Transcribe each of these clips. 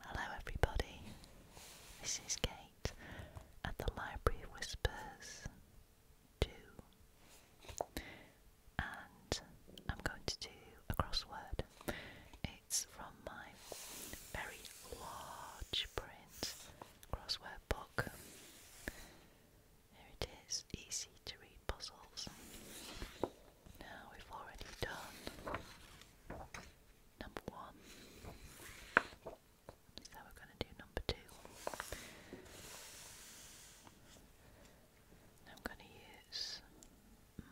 Hello, everybody. This is Kate at the Library Whispers 2, and I'm going to do a crossword. It's from my very large print crossword book. Here it is, easy to read puzzles. Now we've already done number one. So we're going to do number two. I'm going to use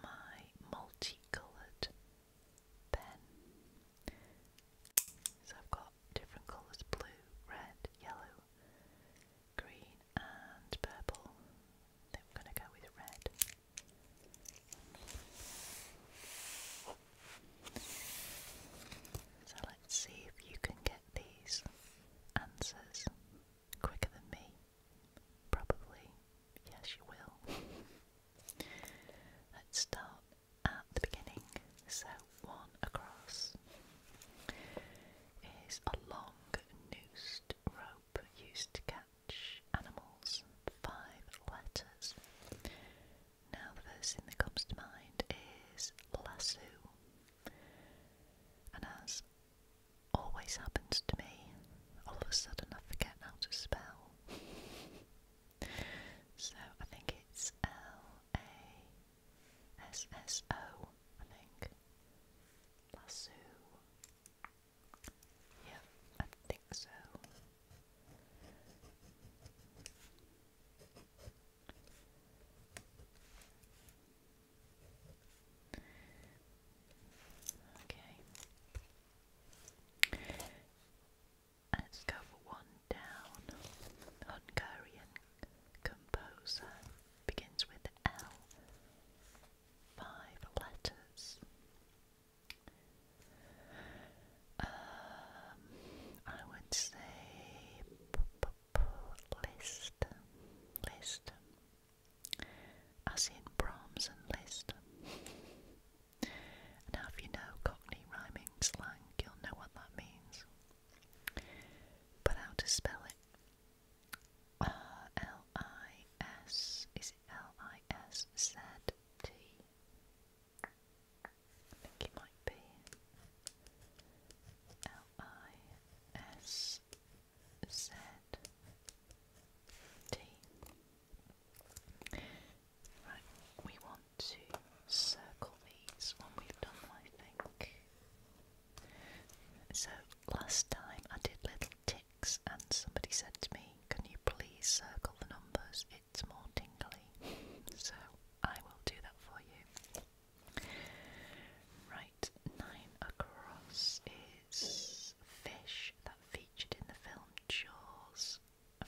my multicoloured pen. So I've got different colours blue, red, yellow green and purple. Then we're going to go with red. So let's see if you can get these answers quicker than me. Probably, yes, you will. Let's start at the beginning. So one across is a long noosed rope used to catch animals. Five letters. Now, the first thing that comes to mind is lasso, and as always happens to me, all of a sudden I forget how to spell. So I think it's L A SSO, think. Lasso. Yeah, I think so. Okay. Let's go for one down. Hungarian Composer begins with L. Five letters. Um, I would say list, list, as in Brahms and Liszt. Now, if you know Cockney rhyming slang, you'll know what that means. But how to spell it? R L I S. Is it L I S Z T? I think it might be L I S Z T. Right, we want to circle these when we've done, I think. So last time I did little ticks, and somebody said to me, Can you please circle the numbers? It's more tingly. So I will do that for you. Right, nine across is fish that featured in the film Jaws.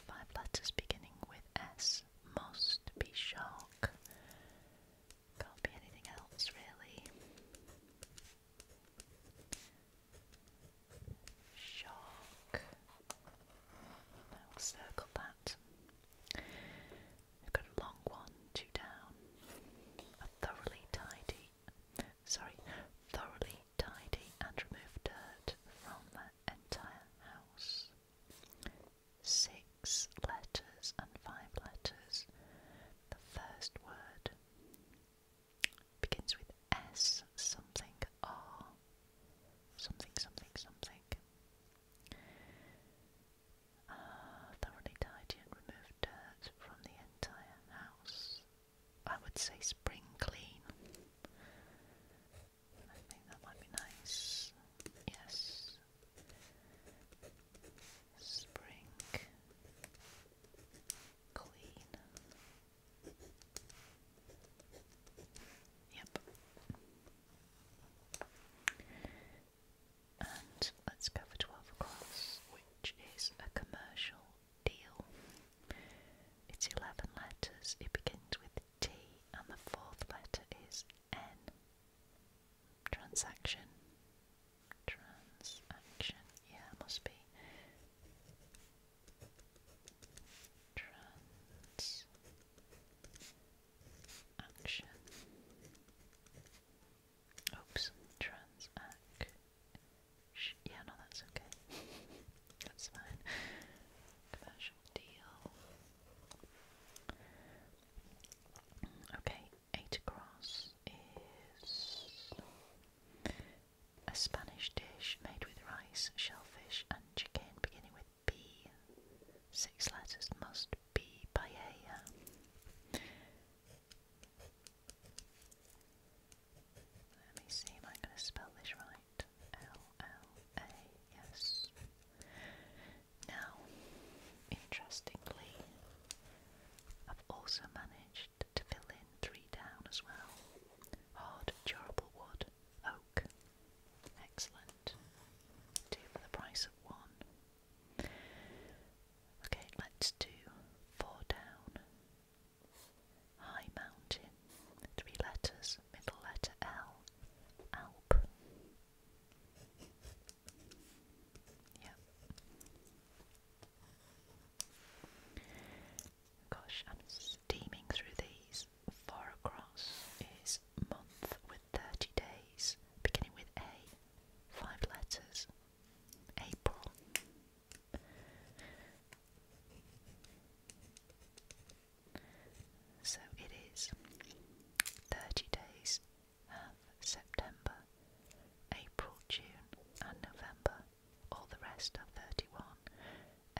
Five letters beginning with S must be shark. Can't be anything else, really. Shark. I'll circle that. We've got a long one, two down. A thoroughly tidy, sorry, thoroughly tidy and remove dirt from the entire house six letters and five letters. The first word begins with S, something R, something, something, something. Ah, thoroughly tidy and remove dirt from the entire house. I would say spring clean. I think that might be nice. Yes. Spring Queen. Yep. And let's go for 12 across, which is a commercial deal. It's 11 letters, it begins with T, and the fourth letter is N transaction transaction yeah must be trans action oops transact yeah no that's okay that's fine commercial deal Okay, eight across is a Spanish dish made with rice, shellfish, and chicken, beginning with B. Six letters must be paella. Let me see, am I going to spell this right? L L A, yes. Now, interestingly, I've also managed to fill in three down as well. Hard, durable wood, oak. Excellent. Two for the price of one. Okay, let's do four down. High mountain. Three letters, middle letter L. Alp. Gosh, I'm steaming through these. Far across is month with 30 days, beginning with A, five letters. April. So it is 30 days of September, April, June, and November, all the rest are 31,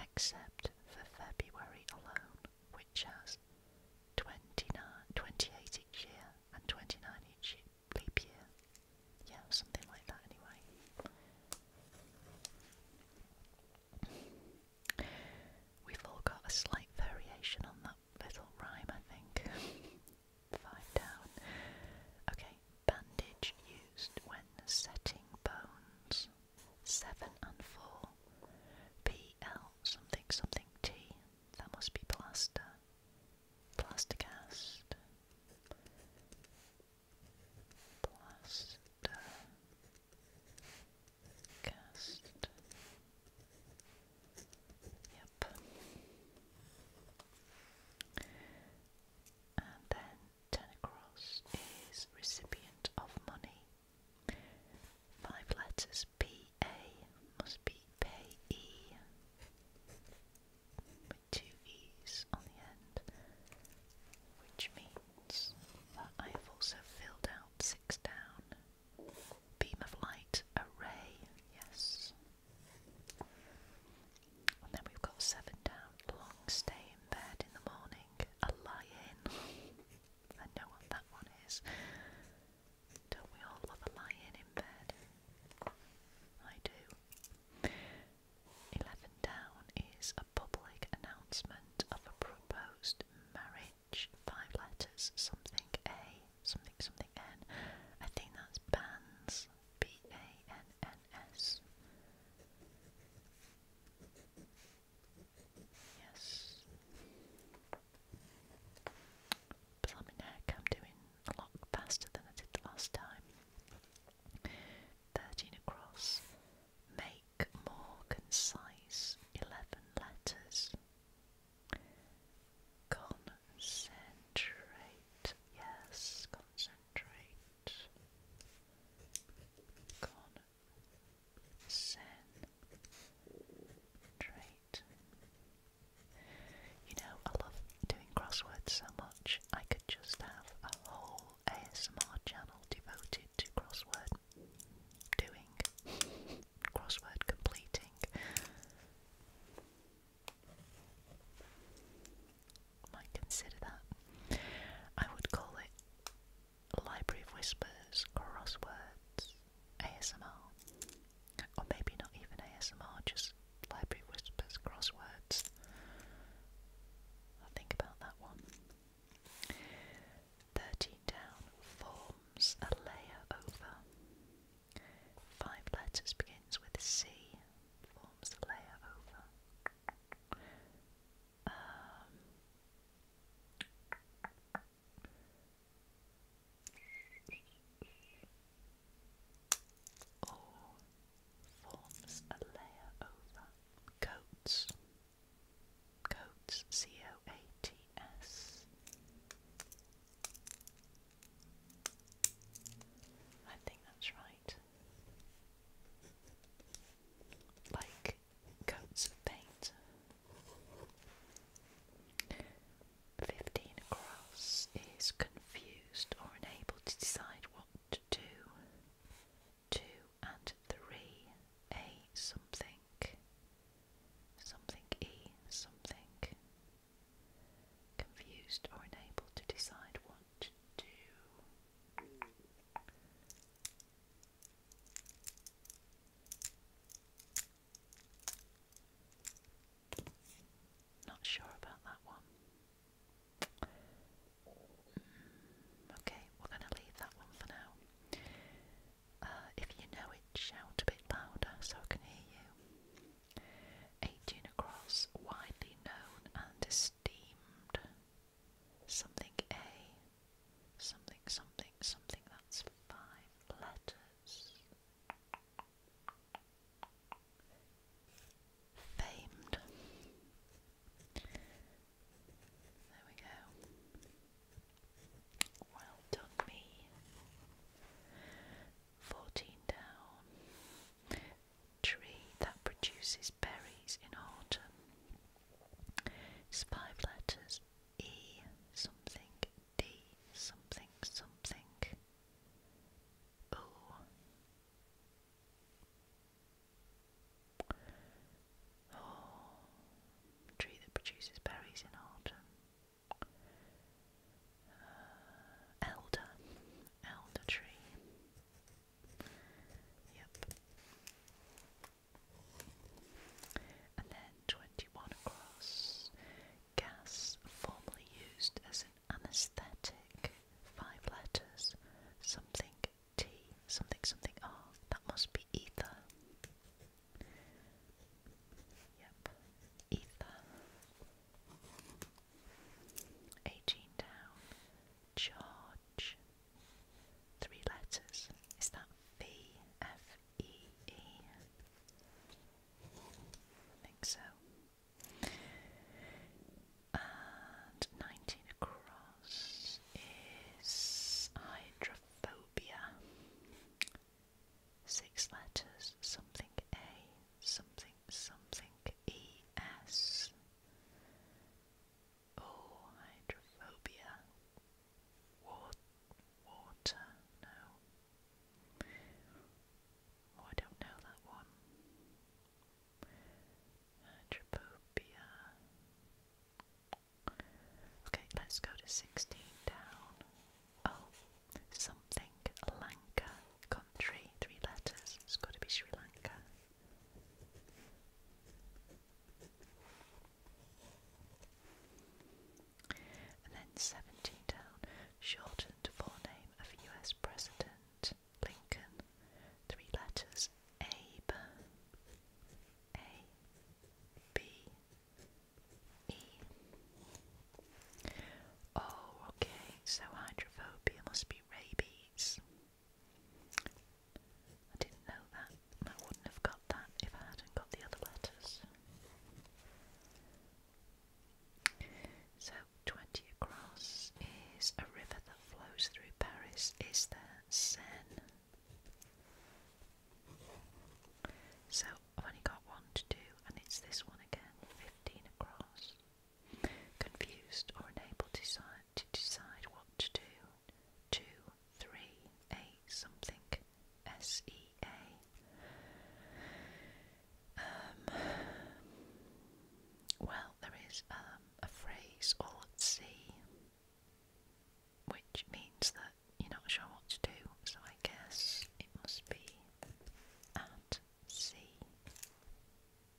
except for February alone, which has 29, 28 each year and 29 each leap year. Yeah, something like that, anyway. We've all got a slight variation on that little rhyme, I think. Five down. Okay, bandage used when setting bones. Seven and four. PL something something T. That must be plaster. Plastercast. Plaster cast. Yep. And then ten across is recipient of money. Five letters P A must be payee with two E's on the end, which means that I've also filled out six down beam of light, a ray, yes. And then we've got seven down, long stay in bed in the morning, a lie I know what that one is. Don't we all love a lie in bed? I do. Eleven down is a public announcement of a proposed marriage five letters, something A, something something N. I think that's bands, B A N N S. Yes. Blimey neck, I'm doing a lot faster than I did the last time. 13 across. Make more concise 11 letters. Concentrate. Yes, concentrate. Concentrate. You know, I love doing crosswords so much, I could just have a whole ASMR channel devoted to crossword doing, crossword completing. Might consider that. I would call it Library of Whispers, Crosswords, ASMR, or maybe not even ASMR, just Library of Whispers, Crosswords. i think about that one. 13 forms a layer over. Five letters begins with C, forms a layer over. Um, or forms a layer over. Coats. Coats, C O A T S. I think that's right. Like coats of paint. Fifteen across is confused or unable to decide what to do. Two and three a something, something e something. Confused or unable to decide what to do. Not sure about that one. Mm, okay, we're going to leave that one for now. Uh, if you know it, shout a bit louder so I can hear you. 18 across, widely known and esteemed. Something A. Something, something, something. That's five letters. Famed. There we go. Well done, me. Fourteen down. Tree that produces berries in autumn. five letters. E something D something something. O Oh, tree that produces berries in autumn. Uh, elder, elder tree. Yep. And then 21 across. Gas, formerly used as an anesthetic. Five letters. Something T something something R. Oh, that must be ether. Yep, ether. 18 down. Charge. Three letters. Is that V F E E? I think so. And 19 across is hydrophobic phobia. Six letters, something A, something, something E S. Oh, hydrophobia. Water, water, no. Oh, I don't know that one. Hydrophobia. Okay, let's go to 16 down. Oh, something Lanka country, three letters. It's got to be Sri Lanka. And then 17 down, shortened forename of US President Lincoln, three letters, Abe. A B E. Oh, okay, so hydrophobia must be rabies. didn't know that, I wouldn't have got that if I hadn't got the other letters. So, 20 across is a river that flows through Paris. Is there Seine? So I've only got one to do, and it's this one again 15 across. Confused or unable to decide, to decide what to do. 2, 3, 8, something. S E A. Um, well, there is um, a phrase all at sea which means that you're not sure what to do, so I guess it must be at C.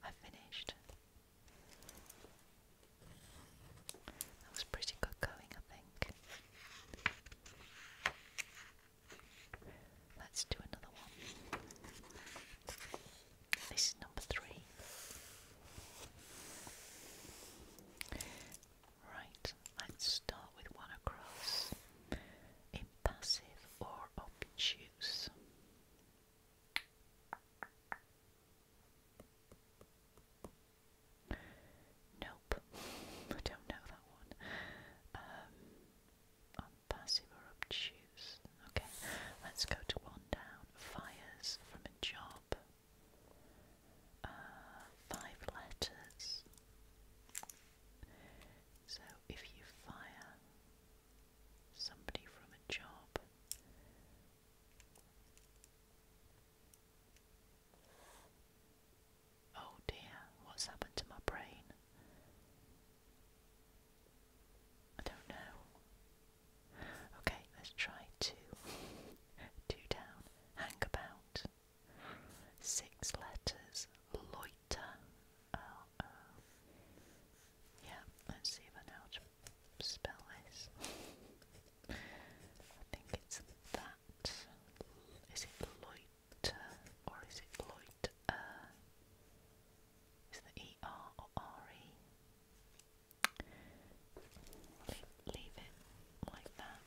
I finished. That was pretty good going, I think. Let's do another one. This is number three. Right, let's start with one across. Impassive or obtuse? Nope, I don't know that one. Um, passive or obtuse. Okay, let's go to one down. Fires from a job. Uh, five letters. So if you fire somebody from a job, oh dear, what's happened to my brain? I don't know. Okay, let's try two. two down. Hang about. Six letters. Loiter. Yeah, let's see if I know how to spell this. I think it's that. Is it loiter or is it loiter? Is the E R or R E? leave, it like that.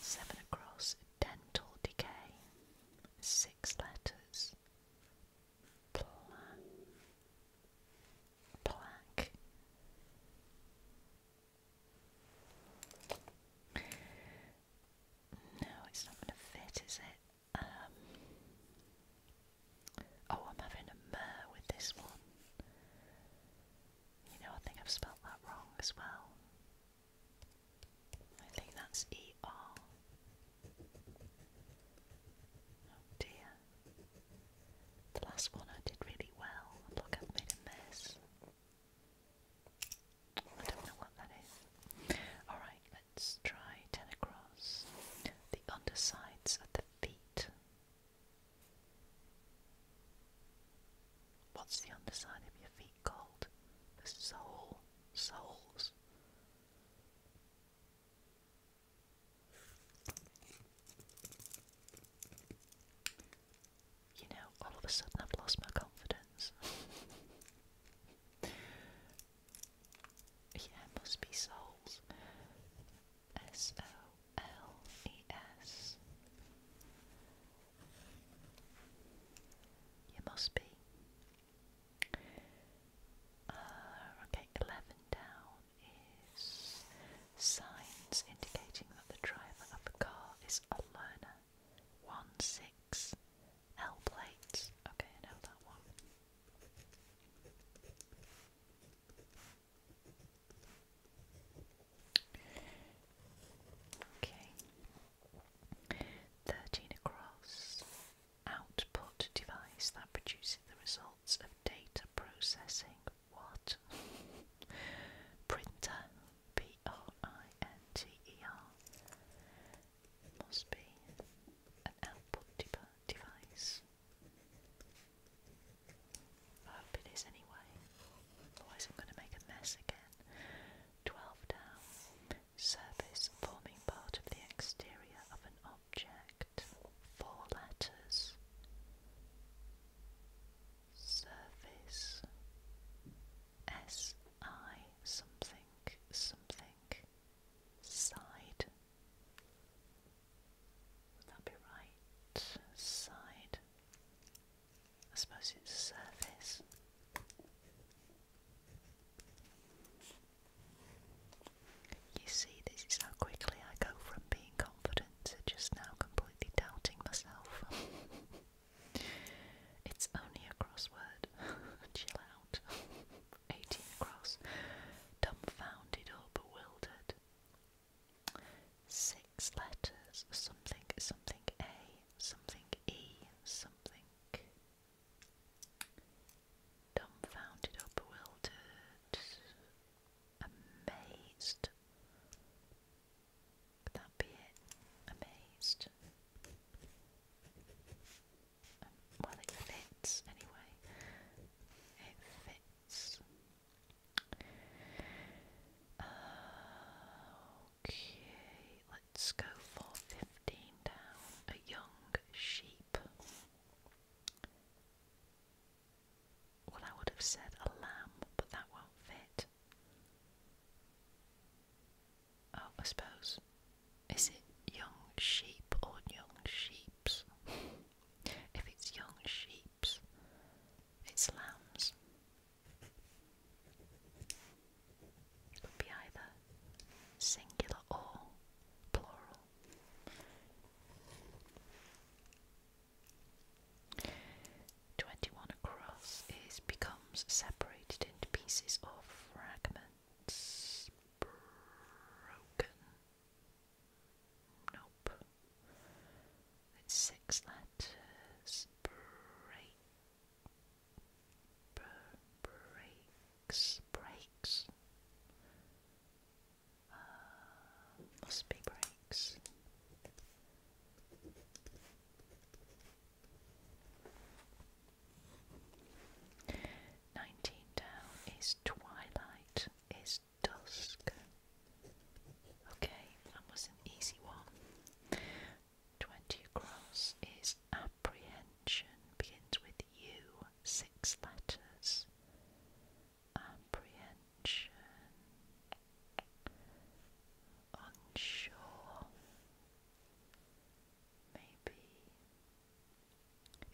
Seven across, dental decay, six letters, plaque. No, it's not going to fit, is it? Um, Oh, I'm having a mer with this one. You know, I think I've spelt that wrong as well. I think that's E R. Oh dear. The last one I did really well. I've made a mess. I don't know what that is. Alright, let's try 10 across. The undersides of the feet. What's the underside of your feet called? The sole. Soles. You know, all of a sudden i lost my confidence. yeah, must be souls. S O L E S. You must be. Uh, okay, 11 down is signs indicating that the driver of the car is a learner. 1 6 L plates. Okay, I know that one. Okay. Thirteen across. Output device that produces the results of data processing. What? Printer. P R I N T E R. Must be an output device. I hope it is anyway. Otherwise, I'm going to make a mess again. 12 down. Surface forming part of the exterior of an object. Four letters. Surface. S I something something. Side would that be right side? I suppose it's surface. You see, this is how quickly I go from being confident to just now completely doubting myself. it's only a crossword. Chill out. eighteen cross, dumbfounded or bewildered. Six letters, something, something A, something E, something. Dumbfounded or bewildered, amazed. Could that be it? Amazed. Um, well, it fits anyway. It fits. Uh, okay, let's go for 15 down. A young sheep. Well, I would have said a lamb, but that won't fit. Oh, I suppose. Is it young sheep or young sheeps? If it's young sheep, it's lambs. It could be either singular or plural. Twenty one across is becomes separated into pieces or fragments. Broken Nope. It's six letters. Breaks. Breaks. Uh, must be breaks. Nineteen down is twilight is dusk. Okay, that was an easy one. 20 across is apprehension, begins with U, six letters. Apprehension. Unsure. Maybe.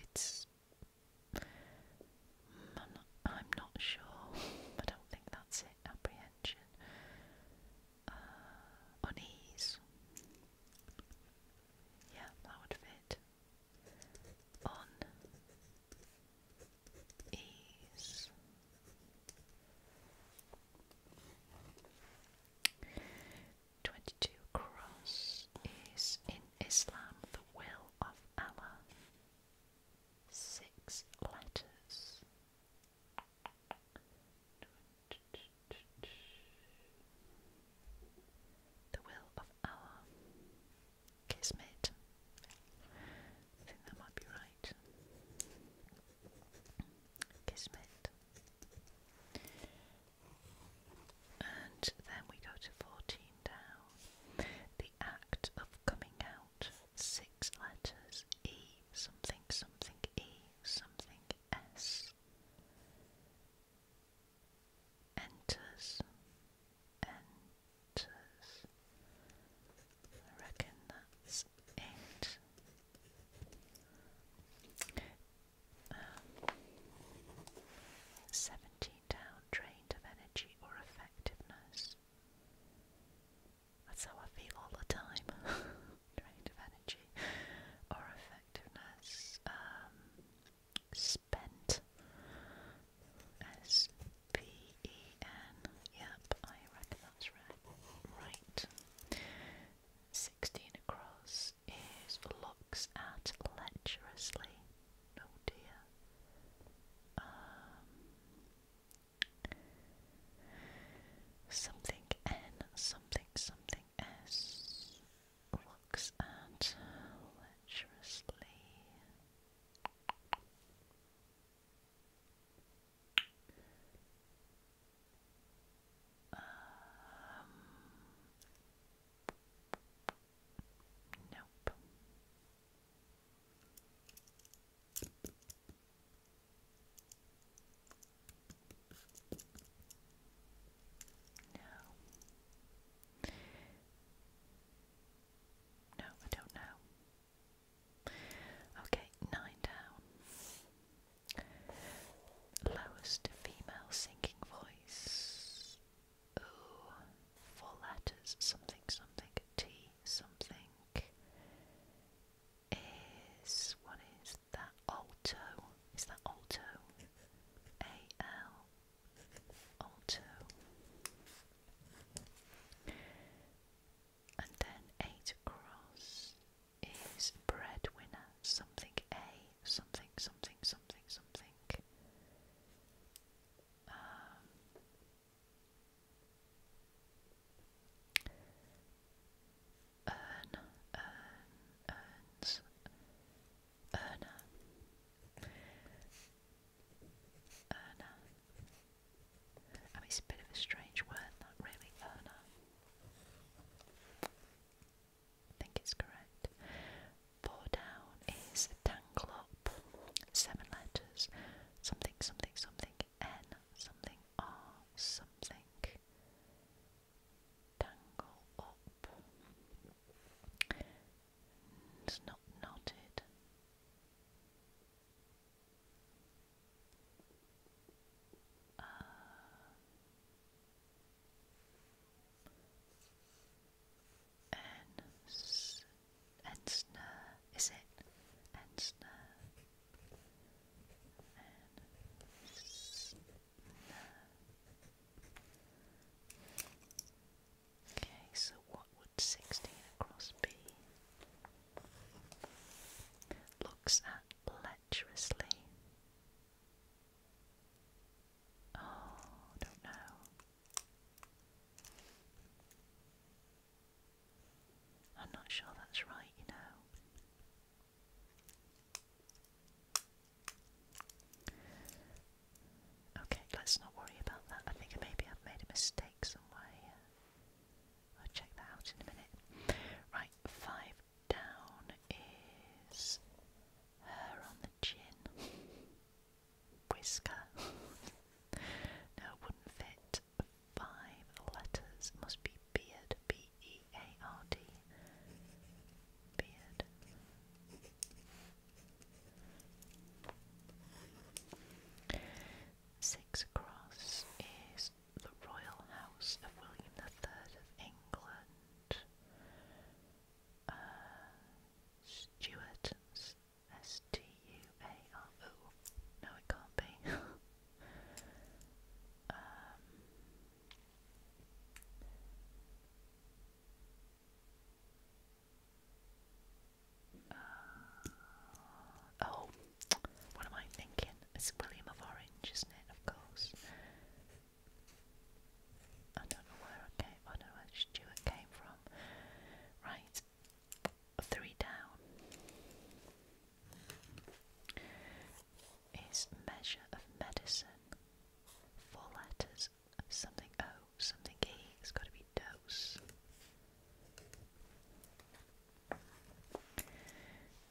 It's I'm not, sure. I don't think that's it. Apprehension. Uh, unease. Yeah, that would fit. Unease. Twenty-two cross is in Islam the will of Allah. Six letters. The will of Allah. Kismet. I think that might be right. Kismet. And then we go to 14 down. The act of coming out. Six letters E something something E something S. Enters. Enters. I reckon that's it. 17 down, drained of energy or effectiveness. That's how I feel all the time. drained of energy or effectiveness. Um, spent. S P E N. Yep, I reckon that's right. Right. 16 across. Mrs. looks at lecherously. Oh dear. Um, something N, something, something S looks at lecherously. Um, Nope. No. No, I don't know. Okay, nine down. Lowest female singing voice. O, four letters, something, something, T, something, is, what is that, alto, is that alto, A-L, alto, and then eight across is breadwinner, something, A, something, something, something, something. Um, earn, earn, earns, earner, earner. I mean, it's a bit of a strange word, not really, earner. I think it's correct. Four down is tangle up. Seven letters. Something, something, something, N, something, R, something. Tangle up. It's not knotted. Uh, Ens Ensner, is it? Ensner. Ensner. Okay, so what would 16 across be? Looks at lecherously. Oh, don't know. I'm not sure that's right, you know. Okay, let's not worry about that. I think maybe I've made a mistake somewhere I'll check that out in a minute. Right, five down is hair on the chin. Whisker. no, it wouldn't fit. Five letters. It must be beard. B E A R D. Beard. Six across is the Royal House of William the Third of England uh, Stuart, S T U A R O. No, it can't be. Um, oh, what am I thinking? It's William of Orange, isn't it? Of course. I don't know where came I don't know where Stuart came from. Right. Three down is measure of medicine. Four letters something O, something E, it's gotta be dose.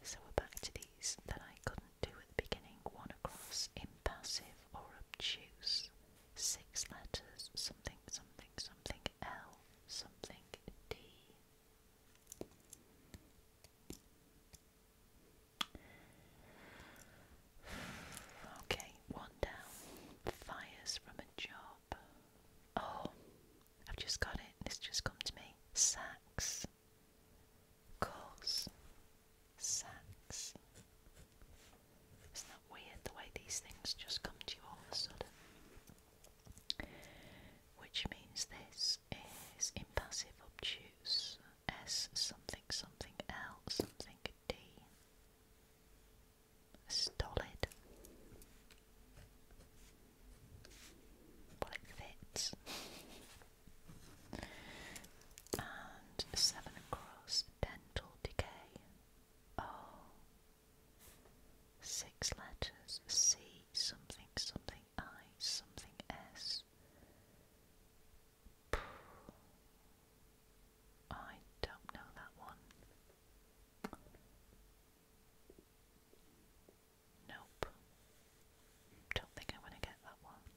So we're back to these that I couldn't two at beginning, one across, impassive or obtuse, six letters, something, something, something, L, something, D. Okay, one down. Fires from a job. Oh, I've just got it. It's just come to me. Sacks. Course. Sacks. Isn't that weird the way these things just come to you all of a sudden? Which means this is impassive obtuse. as something something else something D. Stolid. Well, it fits. And seven across, dental decay. Oh. Six letters, C something something I something S. I don't know that one. Nope. Don't think I want to get that one.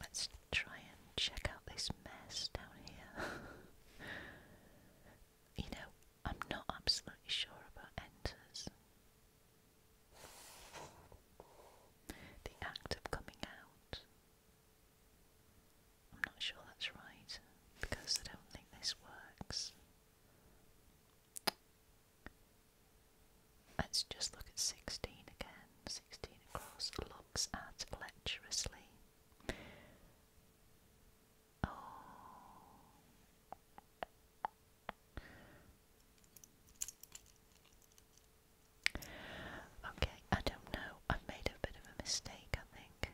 Let's try and check out this mess down here. you know, I'm not absolutely sure about enters. The act of coming out. I'm not sure that's right because I don't think this works. Let's just look at 16 again. 16 across looks at lecherously. Oh. Okay, I don't know. I've made a bit of a mistake, I think.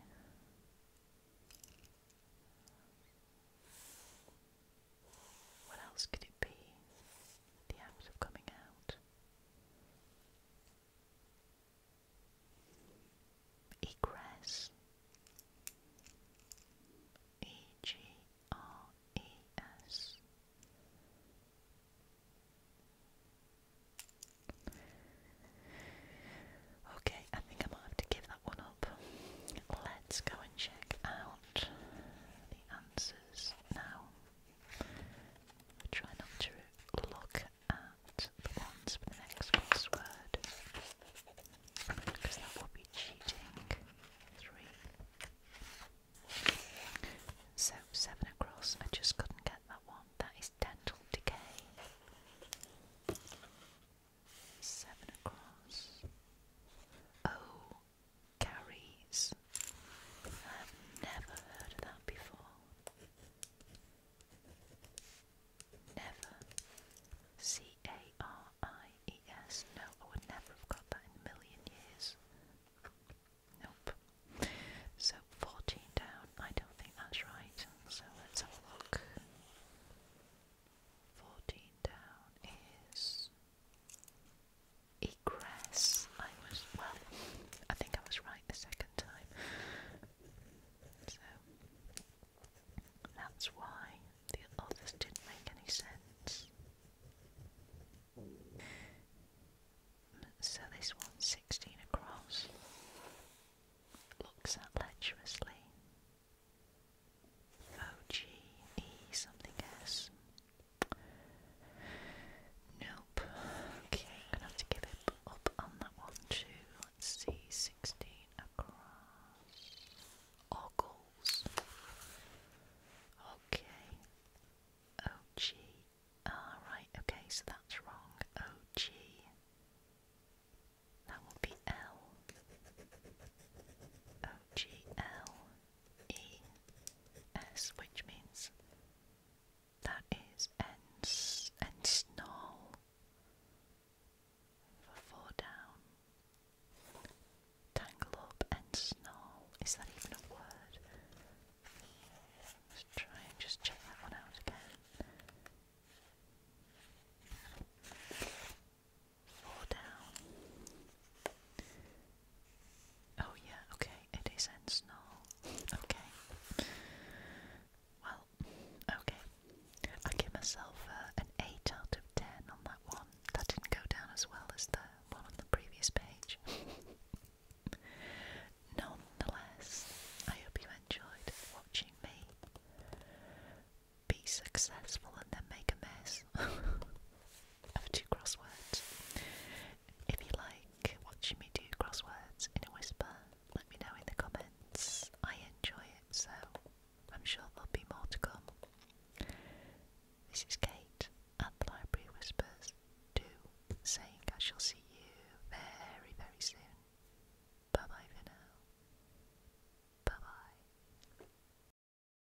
What else could it be? The hours of coming out. Egress. E G R E S. Okay, I think I might have to give that one up. Let's go and check out the answers now. try not to look at the ones for the next crossword because that would be cheating. Three. So seven across. I just couldn't get that one. That is dental decay. Seven across. Oh, Carries. never heard of that before. Never. C A R I E S. No, I would never have got that in a million years. Nope. So 14 down. I don't think that's right. So let's have a look. 14 down is egress. I was, well, I think I was right the second time. So, that's why the others didn't make any sense. So, this one's across, looks at lecherously. O-G-E something S. Nope. Okay, I'm gonna have to give it up on that one too. Let's see, 16 across. Ogles. Okay. O-G. Ah, right, okay, so that's wrong. O-G. That will be L. O-G-L. E-S, which means that is ens ensnarl for four down. Tangle up and snarl. Is that even a word? Let's try and just check that one out again fall down. Oh, yeah, okay, it is in snow. Okay. Well, okay. I give myself uh, an 8 out of 10 on that one. That didn't go down as well as the one on the previous page. Nonetheless, I hope you enjoyed watching me be successful and then make a mess. of two crosswords. If you like watching me do crosswords in a whisper, let me know in the comments. I enjoy it, so I'm sure there'll be more to come. This is Kate at the Library Whispers 2 say I shall see you very, very soon. Bye bye for now. Bye bye.